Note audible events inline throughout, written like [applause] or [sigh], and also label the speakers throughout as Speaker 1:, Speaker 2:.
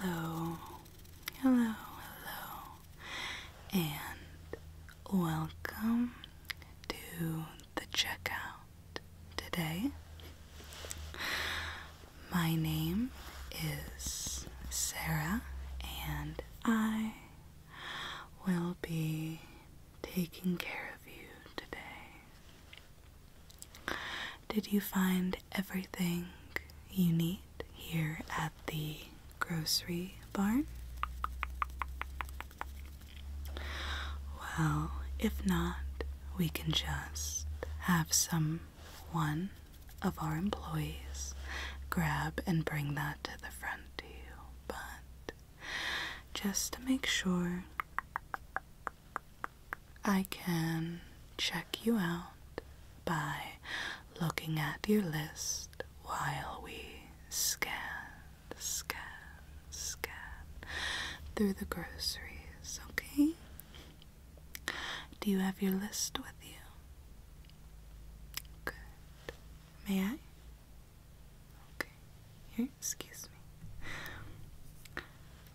Speaker 1: Hello, hello, hello, and welcome to the checkout today. My name is Sarah, and I will be taking care of you today. Did you find everything you need here at the grocery barn? Well, if not, we can just have some one of our employees grab and bring that to the front to you. But just to make sure I can check you out by looking at your list while we scan, scan, scan through the groceries, okay? Do you have your list with you? Good. May I? Okay. Here Excuse me.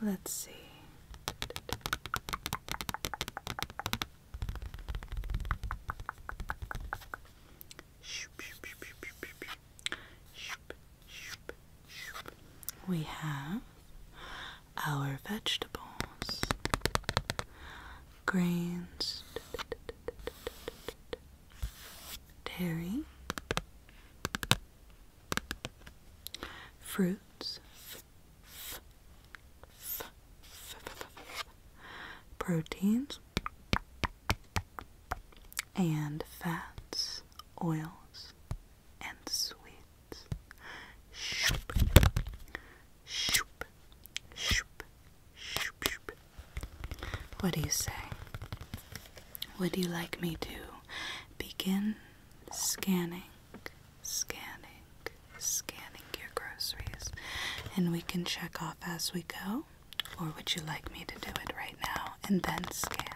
Speaker 1: Let's see. We have our vegetables, grains, dairy, fruits, proteins, and fats, oils, and sweets. Shoop, shoop, shoop, shoop, What do you say? Would you like me to begin scanning, scanning, scanning your groceries. And we can check off as we go. Or would you like me to do it right now and then scan?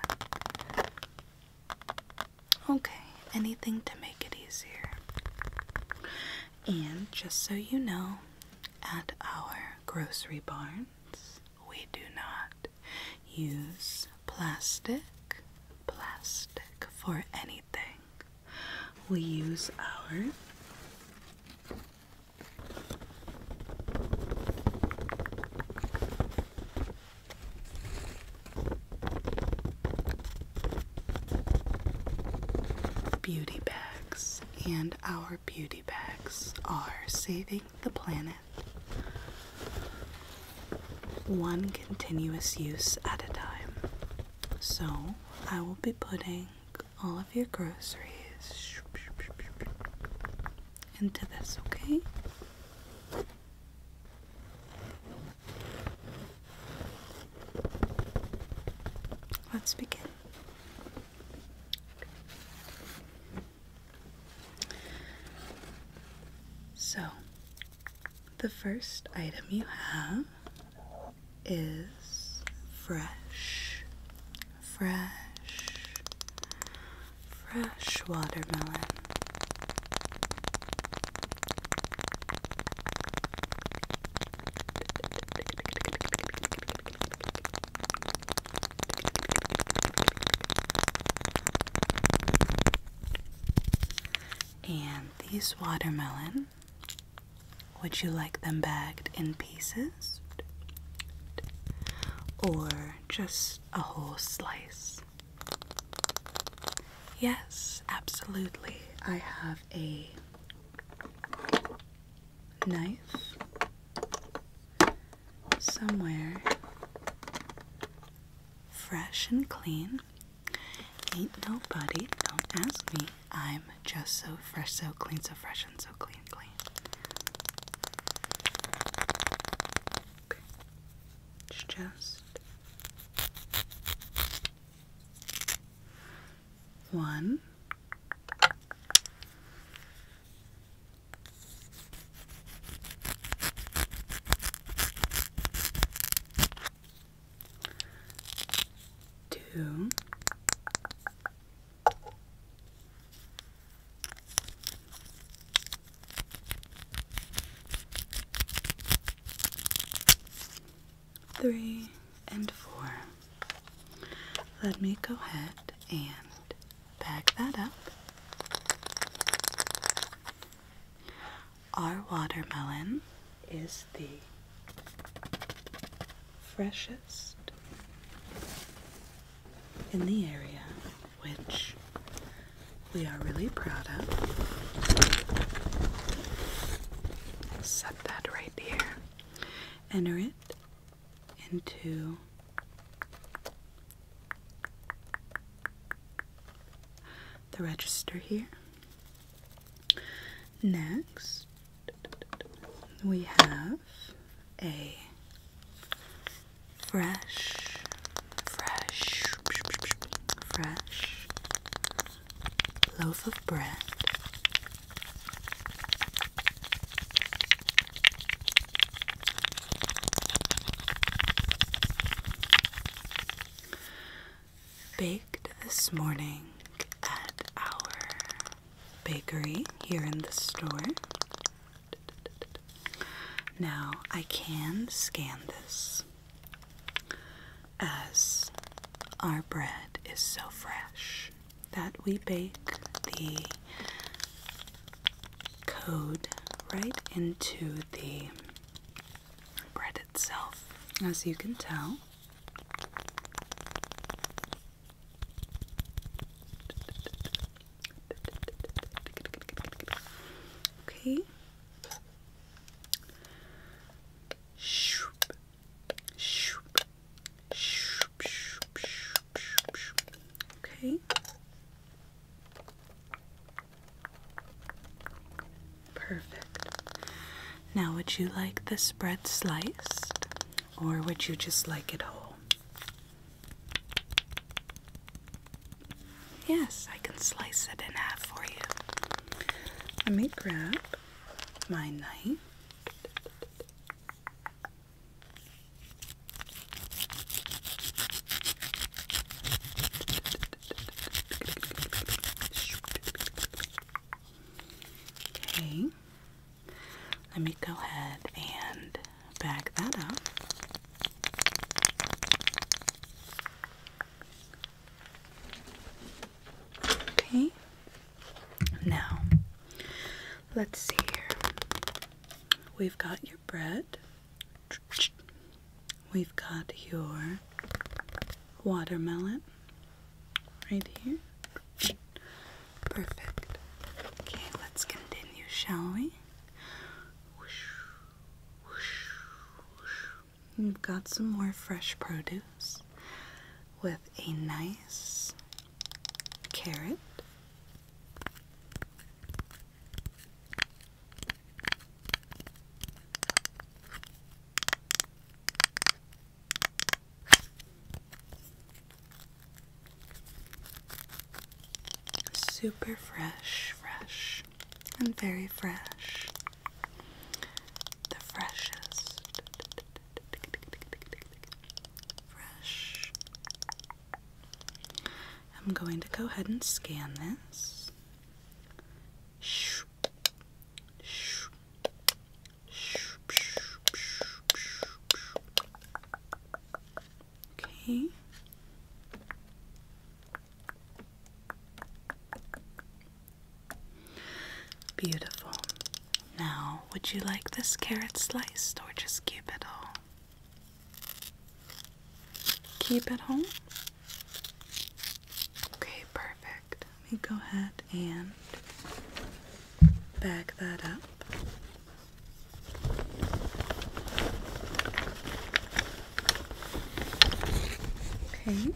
Speaker 1: Okay, anything to make it easier. And just so you know, at our grocery barns, we do not use plastic, plastic for anything. We use our Beauty bags and our beauty bags are saving the planet. One continuous use at a time. So, I will be putting all of your groceries into this, okay? Let's begin. So, the first item you have is fresh, fresh, fresh watermelon. And these watermelon, would you like them bagged in pieces? Or just a whole slice? Yes, absolutely. I have a knife somewhere fresh and clean. Ain't nobody, don't ask me. I'm just so fresh, so clean, so fresh, and so clean, clean. It's just one, Two. Three and four. Let me go ahead and Bag that up. Our watermelon is the freshest in the area, which we are really proud of. Set that right here. Enter it into the register here. Next, we have a fresh, fresh, fresh loaf of bread Baked this morning at our bakery here in the store. Now I can scan this as our bread is so fresh that we bake the code right into the bread itself, as you can tell. Okay. Shoop, shoop, shoop. Okay. Perfect. Now, would you like the spread sliced or would you just like it whole? Yes, I can slice it in half for you. Let me grab my knife. Okay, let me go ahead and back that up. Okay, now let's see here. We've got your bread. We've got your watermelon right here. Perfect. Okay, let's continue, shall we? We've got some more fresh produce with a nice carrot Super fresh, fresh, and very fresh. The freshest. Fresh, I'm going to go ahead and scan this. Okay. Beautiful. Now, would you like this carrot sliced or just keep it all? keep at home? Okay, perfect. Let me go ahead and back that up. Okay.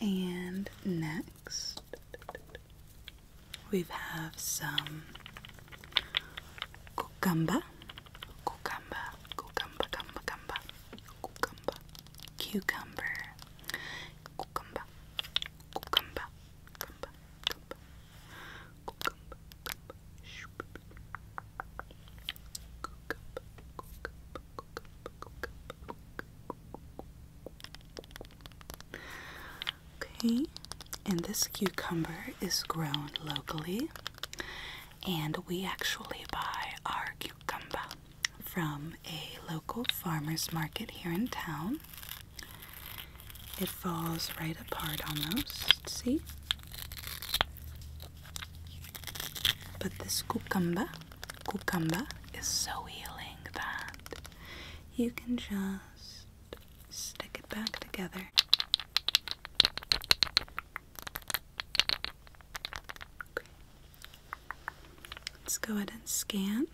Speaker 1: And next, we have some cucumber, cucumber, cucumber, cucumber, cucumber, cucumber, cucumber, cucumber, cucumber, cucumber, cucumber, cucumber, cucumber, cucumber, cucumber, Okay, and this cucumber is grown locally, and we actually buy our cucumber from a local farmer's market here in town. It falls right apart almost, see? But this cucumber, cucumber is so healing that you can just stick it back together. Okay. Let's go ahead and scan.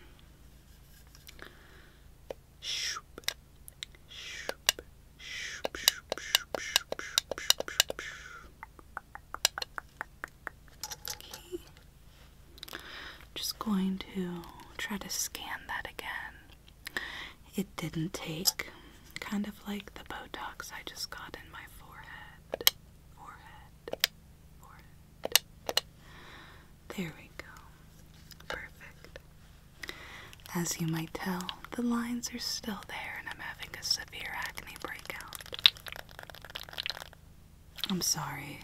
Speaker 1: Okay. Just going to try to scan that again. It didn't take, kind of like the Botox I just got in my forehead. Forehead. There we go. Perfect. As you might tell, the lines are still there, and I'm having a severe acne breakout. I'm sorry.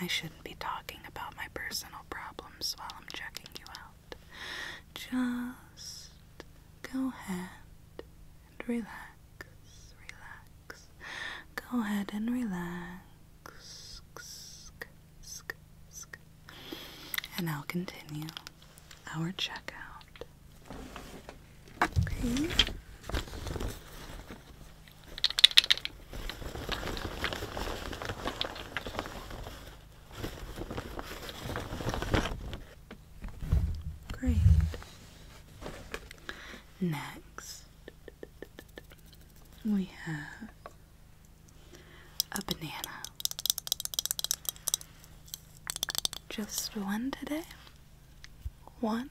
Speaker 1: I shouldn't be talking about my personal problems while I'm checking you out. Just go ahead and relax. Relax. Go ahead and relax. And I'll continue our checkout. Okay. Great. Next, we have a banana. Just one today. One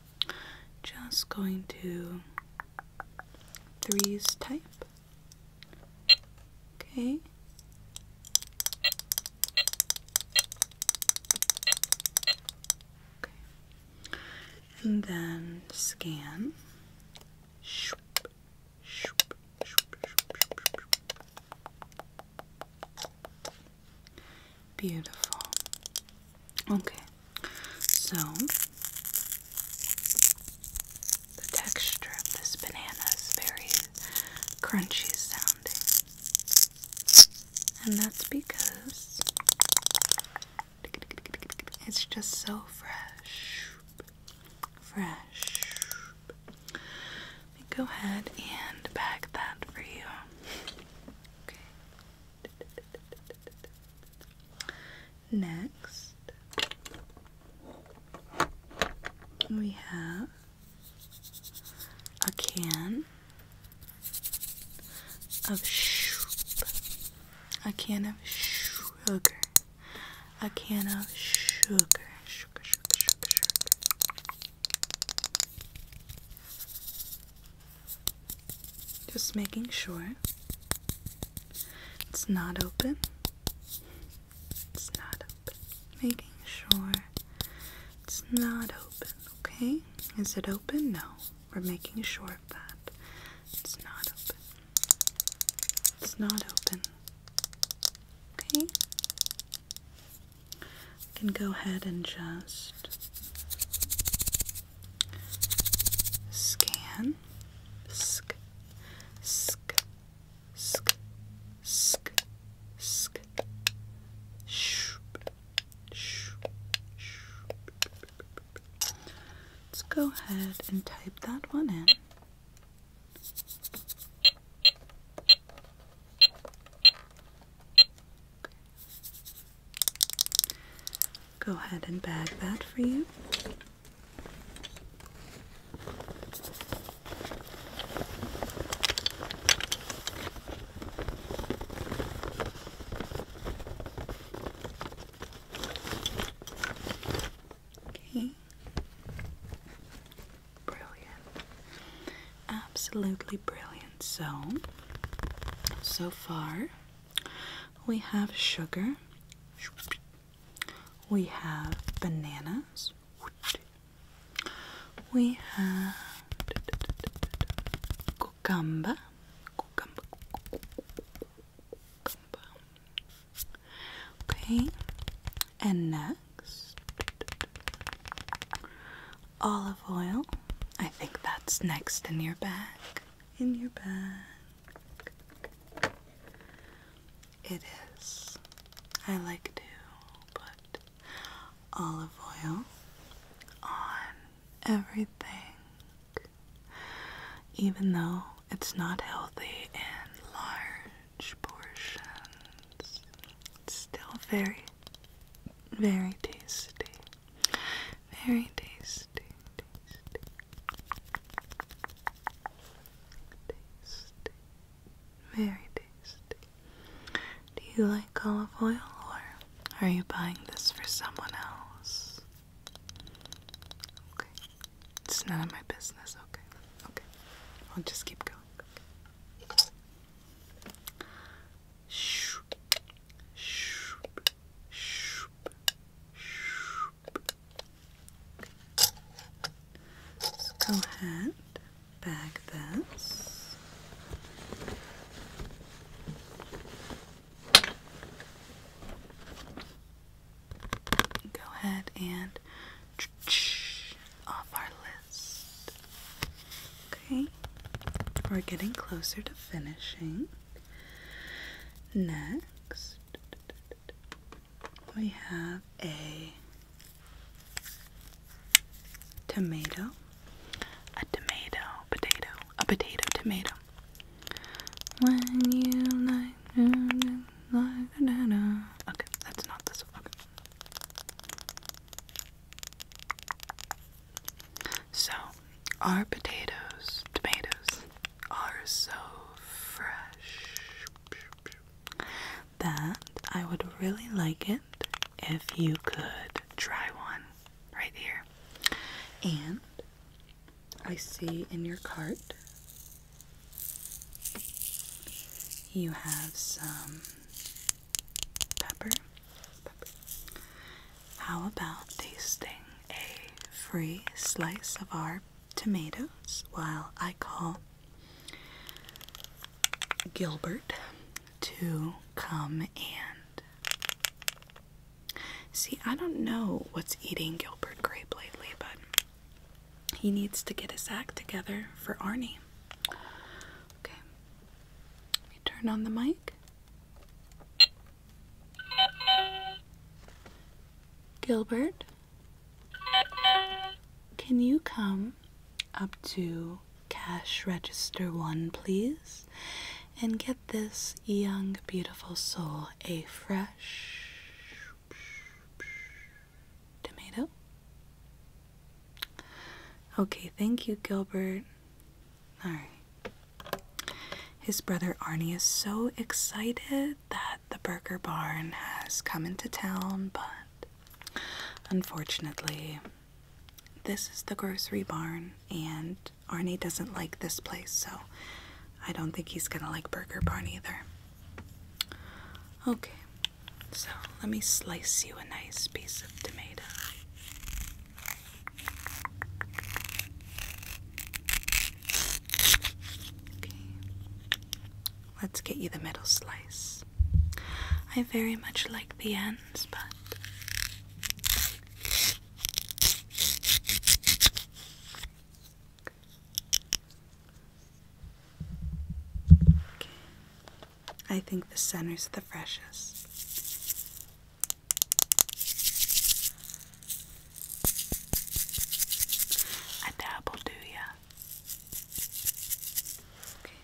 Speaker 1: just going to threes type. Okay. And then scan. Beautiful. Okay, so the texture of this banana is very crunchy sounding, and that's because it's just so fresh. Fresh. go ahead and bag that for you. Okay. Next, we have a can of soup, a can of sugar, a can of sugar, sugar, sugar, sugar, sugar. Just making sure it's not open. It's not open. Making sure it's not open, okay? Is it open? No. We're making sure of that. It's not open. It's not open. Okay? I can go ahead and just scan. Sk, sk, sk, sk, sk, shoop, shoop, shoop. Let's go ahead and type that one in. Go ahead and bag that for you. Okay. Brilliant. Absolutely brilliant. So, so far, we have sugar, we have bananas, we have cucumber, cucumber, cucumber. Okay, and next Olive oil. I think that's next in your bag. In your bag. It is. I like to put olive oil on everything, even though it's not healthy in large portions. It's still very very tasty. Very tasty. Tasty. Very tasty. Do you like olive oil or are you buying this for someone else?
Speaker 2: Okay. It's none of my
Speaker 1: business, okay. Okay. I'll just keep going. Let's go ahead, bag this. Go ahead and [tsk] off our Okay, we're getting closer to finishing. Next, we have a tomato, a tomato, potato, a potato, tomato. When you like, like, okay, that's not this one. So, our potatoes, tomatoes, are so fresh that I would really like it if you could try one right here. And I see in your cart you have some Pepper. How about tasting a free slice of our tomatoes while I call Gilbert to come and. See, I don't know what's eating Gilbert Grape lately, but he needs to get his act together for Arnie. Okay, turn on the mic. Gilbert, can you come up to cash register one, please, and get this young, beautiful soul a fresh tomato? Okay, thank you, Gilbert. Alright. His brother Arnie is so excited that the burger barn has come into town, but unfortunately, this is the grocery barn, and Arnie doesn't like this place, so I don't think he's gonna like Burger Barn either. Okay, so let me slice you a nice piece of tomato. Okay. Let's get you the middle slice. I very much like the ends, but. Okay. I think the center's the freshest. A dabble, do ya? Okay,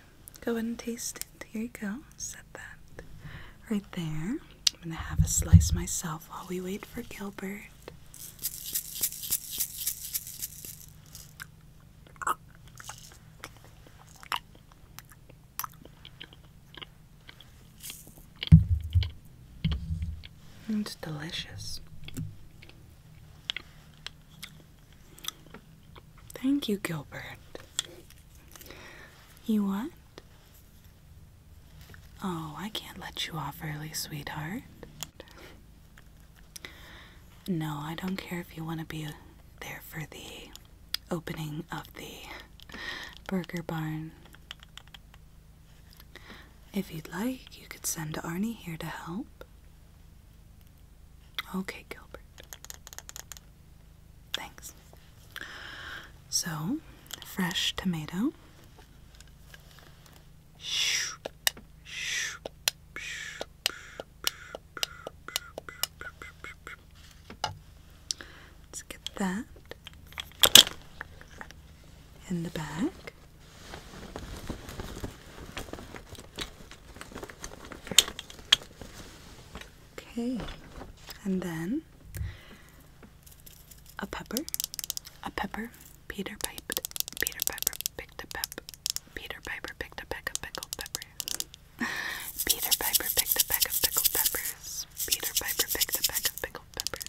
Speaker 1: go ahead and taste it. Here you go. Set that right there. I'm gonna have a slice myself while we wait for Gilbert. It's delicious. Thank you, Gilbert. You what? Oh, I can't let you off early, sweetheart. No, I don't care if you want to be there for the opening of the burger barn. If you'd like, you could send Arnie here to help. Okay, Gilbert. Thanks. So, fresh tomato. Let's get that in the back. Okay, and then a pepper, a pepper, Peter Piper, Peter Piper picked a pep, Peter Piper picked a peck of pickled pepper. Peter Piper picked a peck of pickled peppers. Peter Piper picked a peck of pickled peppers.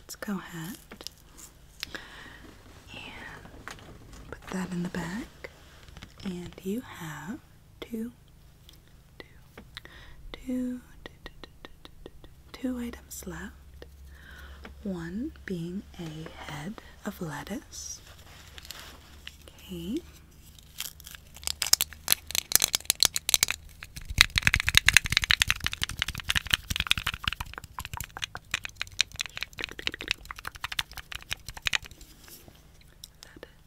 Speaker 1: Let's go ahead and put that in the back. And you have two, two, two, two items left. One being a head of lettuce. Okay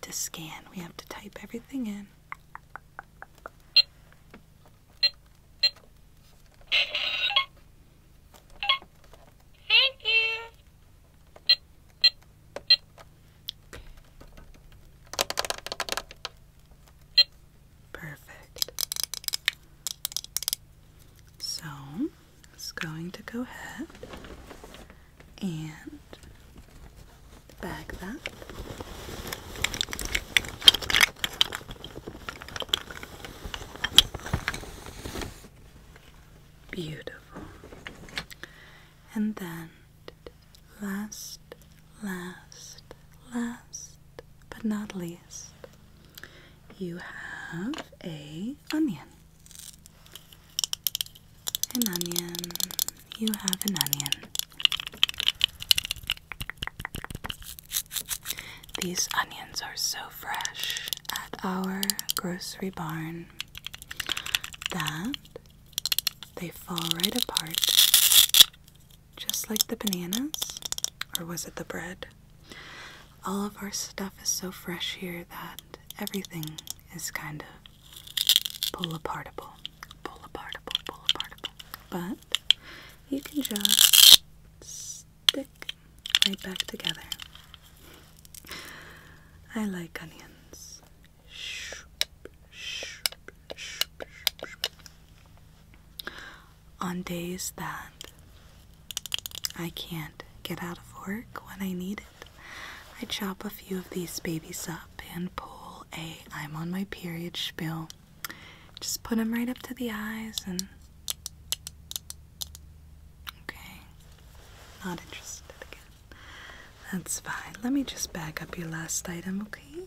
Speaker 1: to scan, we have to type everything in. Thank you. Perfect. So it's going to go ahead and bag that. Beautiful. And then last, last, last, but not least, you have a onion. An onion. You have an onion. These onions are so fresh at our grocery barn that they fall right apart just like the bananas or was it the bread all of our stuff is so fresh here that everything is kind of pull apart a bowl. pull-apartable, pull bowl. But you can just stick right back together. I like onions. On days that I can't get out of work when I need I chop a few of these babies up and pull a I'm on my period spill. Just put them right up to the eyes and. Okay. Not interested again. That's fine. Let me just back up your last item, okay? Okay.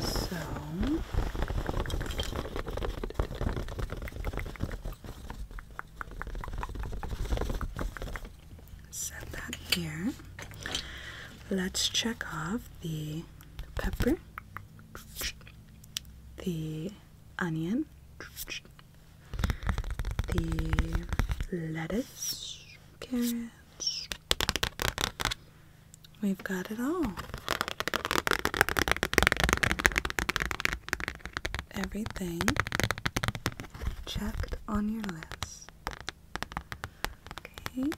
Speaker 1: So set that here. Let's check off the pepper, the onion, the lettuce, carrot. We've got it all. Everything checked on your list. Okay.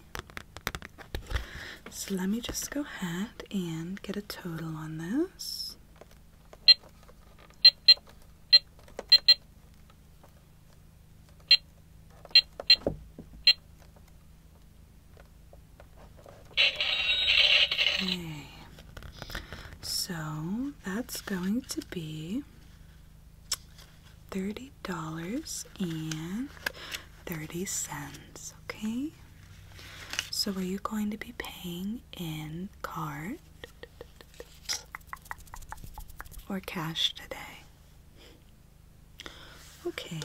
Speaker 1: So let me just go ahead and get a total on this. Okay. So that's going to be $30.30, okay? So are you going to be paying in card or cash today? Okay,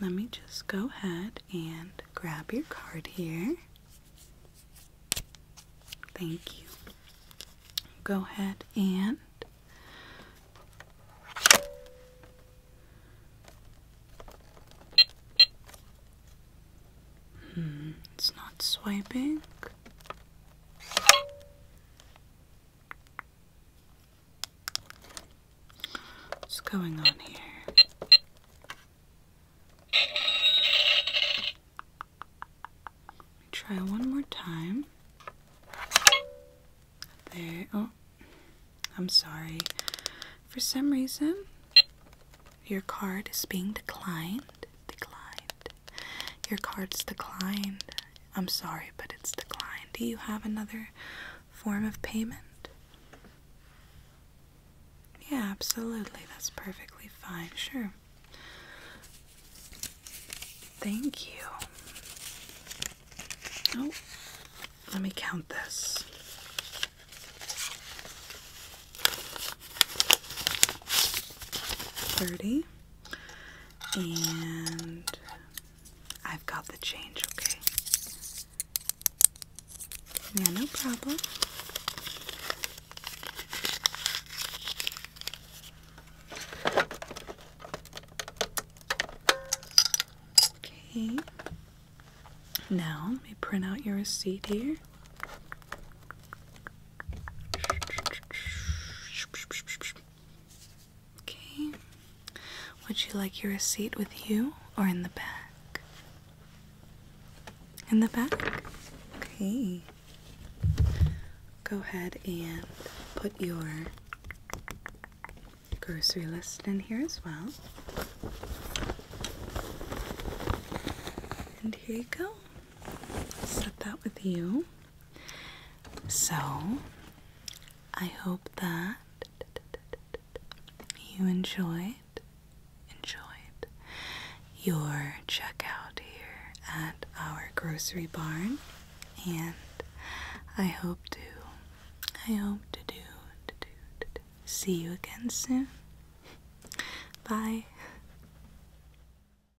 Speaker 1: let me just go ahead and grab your card here. Thank you. Go ahead and Hmm, it's not swiping. What's going on here? Try one more time. There. Oh, I'm sorry. For some reason, your card is being declined. Declined. Your card's declined. I'm sorry, but it's declined. Do you have another form of payment? Yeah, absolutely. That's perfectly fine. Sure. Thank you. Oh, let me count this. Thirty. And I've got the change, okay? Yeah, no problem. Okay. Now, let me print out your receipt here. Okay. Would you like your receipt with you or in the back? In the back? Okay. Go ahead and put your grocery list in here as well. And here you go. Set that with you. So, I hope that you enjoyed enjoyed your checkout here at our grocery barn and I hope to I hope to do see you again soon. Bye.